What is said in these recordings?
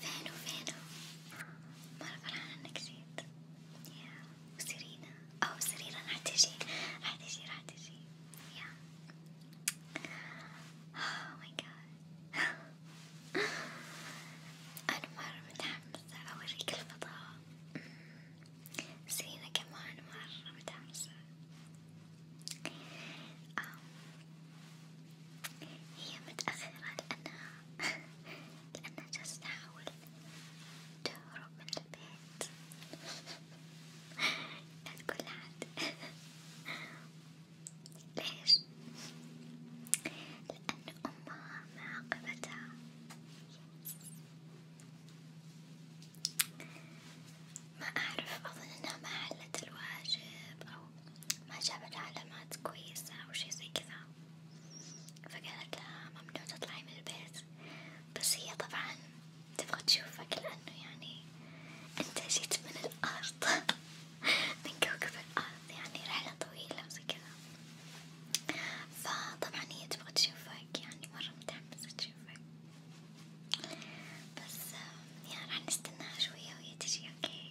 فينو فينو مرة فرحانة انك جيت يا وسيرينا او سيرينا راح تجي راح تجي راح تجي يا اوه ماي جاد انا مرة متحمسة اوريك الفضاء سيرينا كمان مرة متحمسة um, هي متأخرة لأنها لأنها جالسة تحاول تهرب من البيت لا تقول لحد ليش؟ لأن أمها معاقبتها ما أعرف أظن إنها ما حلت الواجب أو ما جابت علامات كويسة أو شي زي كذا فقالت لها ممنوع تطلعي من البيت بس هي طبعا تبغى تشوفك لأنه يعني أنت جيت من الأرض من كوكب الأرض يعني رحلة طويلة وزي كذا فطبعا هي تبغى تشوفك يعني مرة متحمسة تشوفك بس يعني راح نستناها شوية وهي تجي أوكي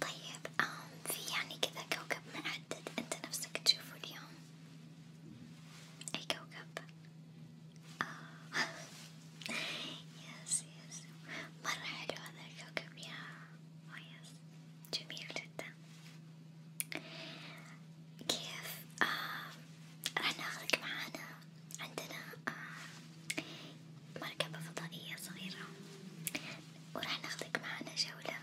طيب آم في يعني كذا كوكب محدد أنت نفسك تشوفه اليوم أي كوكب؟ آه يس يس مرة حلو هذا الكوكب يا آه يس جميل جدا كيف؟ آه راح ناخذك معانا عندنا آه، مركبة فضائية صغيرة وراح ناخدك معنا جولة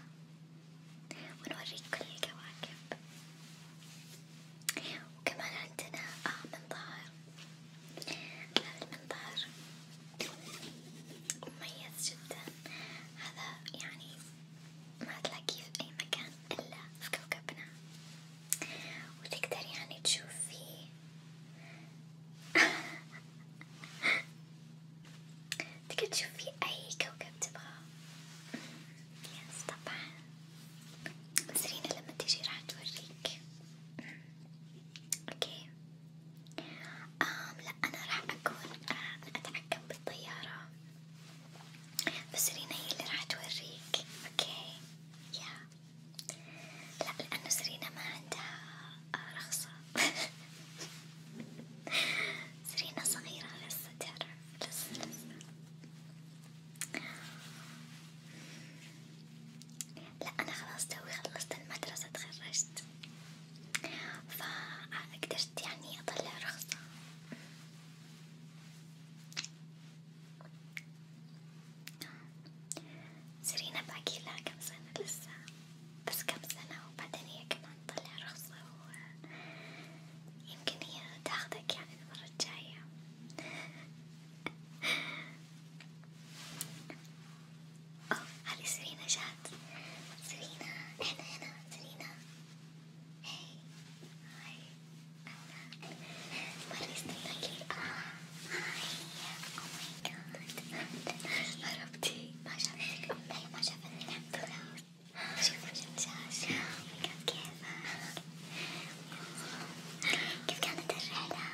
ونوريك كل الكواكب وكمان عندنا آه، منظار هذا المنظار مميز جدا هذا يعني ما تلاقيه في أي مكان إلا في كوكبنا وتقدر يعني تشوفي تقدر تشوفي أي كوكب تبغاه يس طبعا سرينا لما تجي راح توريك اوكي mm. آم لا أنا راح أكون أتحكم بالطيارة بس رينا هي اللي راح توريك اوكي يا لا لأنه سرينا ما عندها آه، رخصة سرينا صغيرة لسه تعرف لسه لسه لا أنا خلاص توي خلصت المدرسة تخرجت فقدرت يعني أطلع رخصة سيرينا باقي لها كم سنة لسه بس كم سنة وبعدين هي كمان تطلع رخصة ويمكن هي تاخدك يعني المرة الجاية اوه هذي سيرينا جات سيرينا احنا هنا سيرينا هاي هاي What is the lucky? Ah, oh my god. هربتي ما شافتك أمي ما شافتني الحمد لله. شوفي الجمجاش. Oh my god كيفك؟ كيف كانت الرحلة؟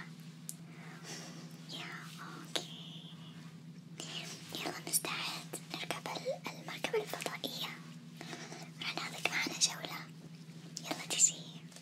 يا اوكي. يلا نستعد نركب المركبة الفضائية. راح ناخذك معنا جولة. يلا تيجي.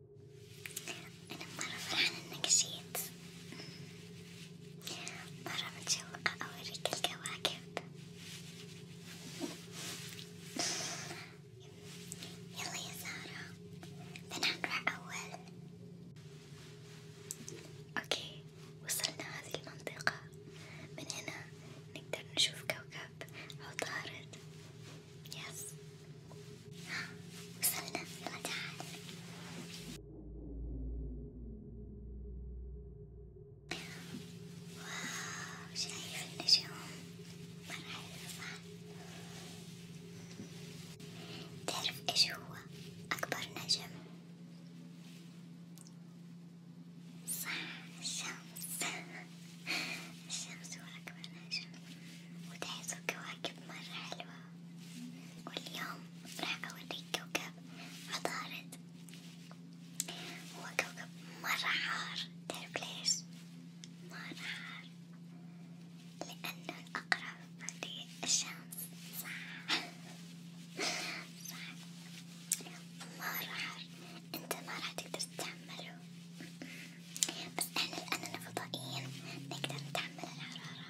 أنا مرة فرحانة إنك جيت، مرة متشوقة أوريك الكواكب، يلا يا سارة بنقرأ أول، أوكي وصلنا هذه المنطقة، من هنا نقدر نشوف كوكب عطارد، يس. وصلنا يلا تعال واو شايف النجوم مرة حلوة صح؟ تعرف ايش هو أكبر نجم؟ صح الشمس الشمس هو أكبر نجم وتحسوا كواكب مرة حلوة واليوم راح أوريك كوكب عطارد هو كوكب مرة حار تعرف ليش؟ مرة حار لأنه الأقرب للشمس صح صح مرة حار أنت ما راح تقدر تتحمله بس احنا لأننا فضائيين نقدر نتحمل الحرارة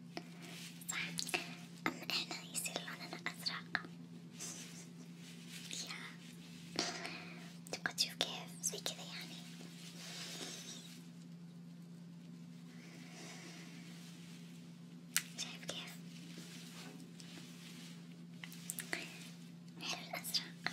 صح أما إحنا يصير لوننا أزرق يا تبغى تشوف كيف زي كذا يعني شايف كيف حلو الأزرق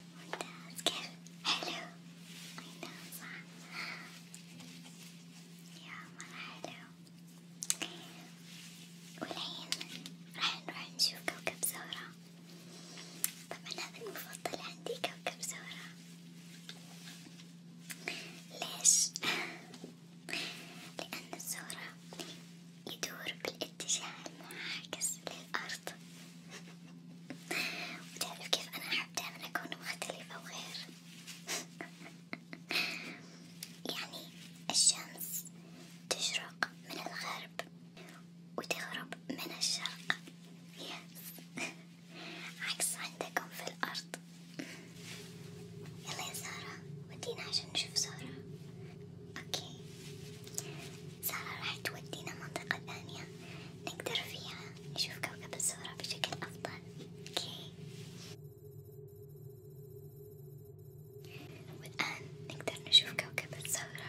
ممتاز كيف؟ حلو أي صح يا مرة حلو والحين راح نروح نشوف كوكب زهرة طبعا هذا المفضل عندي كوكب زهرة ليش؟ لأن الزهرة يدور بالاتجاه المعاكس للأرض، وتعرف كيف أنا أحب دايما أكون مختلفة وغير، يعني الشمس تشرق من الغرب وتغرب من الشرق. عكس عندكم في الأرض يلا يا سارة ودينا عشان نشوف سارة أوكي سارة راح تودينا منطقة ثانية نقدر فيها نشوف كوكب الزهرة بشكل أفضل أوكي والآن نقدر نشوف كوكب الزهرة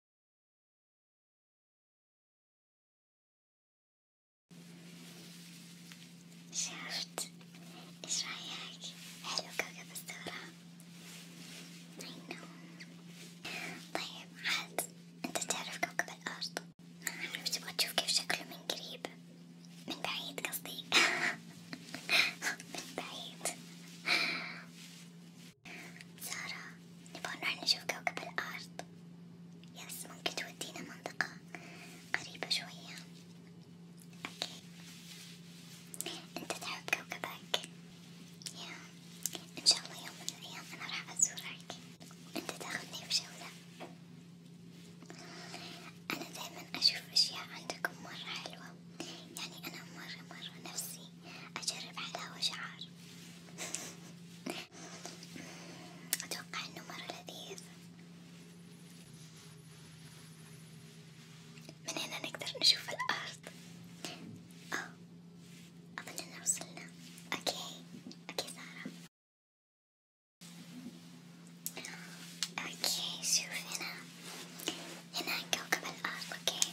شفت ايش رايك حلو كوكب الثورة طيب عاد انت تعرف كوكب الارض عارف تبغى تشوف كيف شكله من قريب من بعيد قصدي من بعيد سارة نبغى نروح نشوف كوكب الأرض، يس ممكن تودينا منطقة قريبة شوية، أوكي، أنت تحب كوكبك؟ يا إن شاء الله يوم من الأيام أنا راح أزورك، أنت تاخذني بجولة، أنا دايما أشوف أشياء عندكم مرة حلوة، يعني أنا مرة مرة نفسي أجرب حلاوة شعر. أتوقع إنه مرة لذيذ، من هنا نقدر نشوف الأرض، آه أظننا وصلنا، أوكي أوكي سارة، أوكي شوف هنا، هنا كوكب الأرض، أوكي.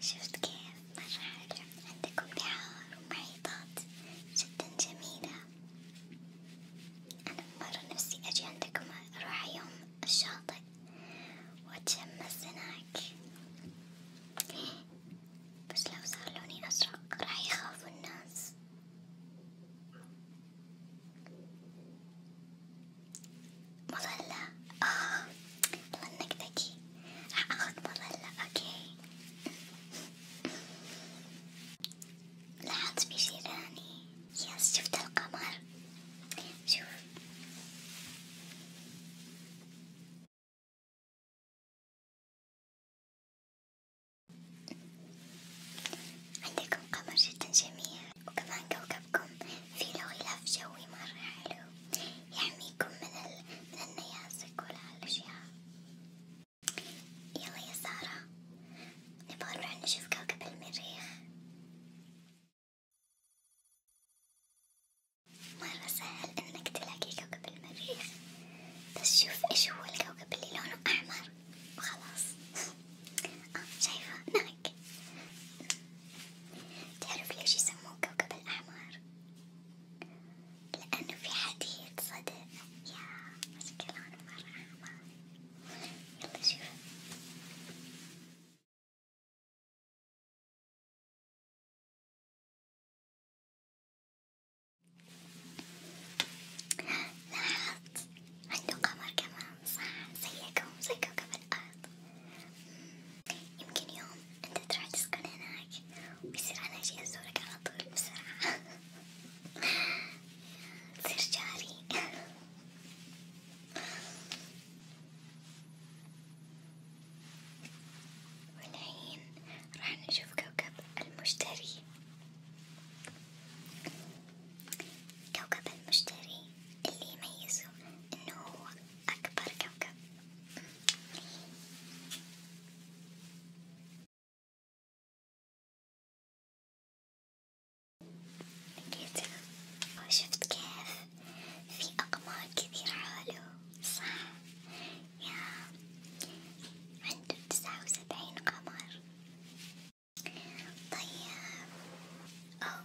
شفت كيف مرة حلو عندكم بحار ومحيطات جدا جميلة أنا مرة نفسي أجي عندكم أروح يوم الشاطئ وأتشمس هناك بس لو صار لوني أزرق راح يخافوا الناس مظلة آه والله إنك ذكي أخطب هلا أوكي لاحظت بجيراني يس شفت القمر شوف عندكم قمر جدا جميل وكمان كوكبكم فيه له غلاف جوي مرة حلو يحميكم يعني من, ال... من النيازك والهالأشياء يلا يا سارة نبغى نروح نشوف كوكب المريخ مرة سهل انك تلاقي كوكب المريخ بس شوف ايش هو الكوكب اللي لونه احمر وخلاص اه شايفة ناك تعرف ليش يسموه كوكب الأحمر؟ لأنه في حديد صدق يا مشكلة أنا مرة عامة يلا شوف لاحظت عنده قمر كمان صح زيكم زيكم قبل الأرض آه. يمكن يوم انت تروح تسكن هناك ويصير انا اجي ازورك على طول بسرعة تصير جاري والحين راح نشوف كوكب المشتري كوكب المشتري اللي يميزه انه هو أكبر كوكب لقيته وشفت كيف في أقمار كثير حوله صح يا عنده تسعة وسبعين قمر طيب أو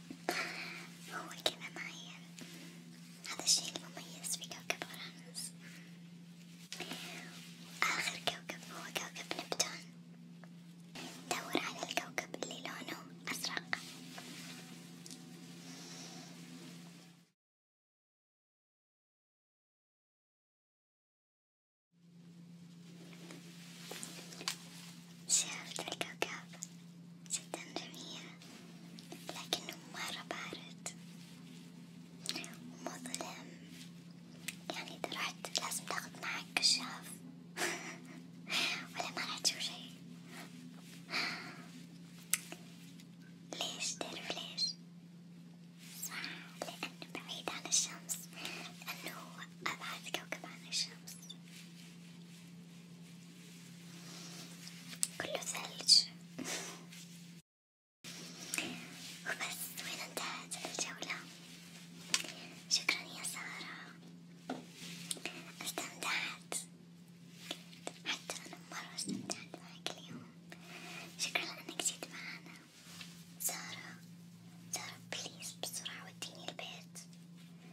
هو كذا معين هذا الشيء المميز في كوكب أورانوس وآخر كوكب هو كوكب نبتون دور على الكوكب اللي لونه أزرق شافت الكوكب جدا جميل لكنه مرة بارد ومظلم يعني إذا رحت لازم تاخد معك كشاف ولا ما راح تشوف شي ليش تعرف ليش؟ صح لأنه بعيد عن الشمس لأنه أبعد كوكب عن الشمس كله ثلج وبس وين انتهت الجولة شكرا يا سارة استمتعت حتى أنا مرة استمتعت معك اليوم شكرا لأنك جيت معنا سارة سارة بليز بسرعة وديني البيت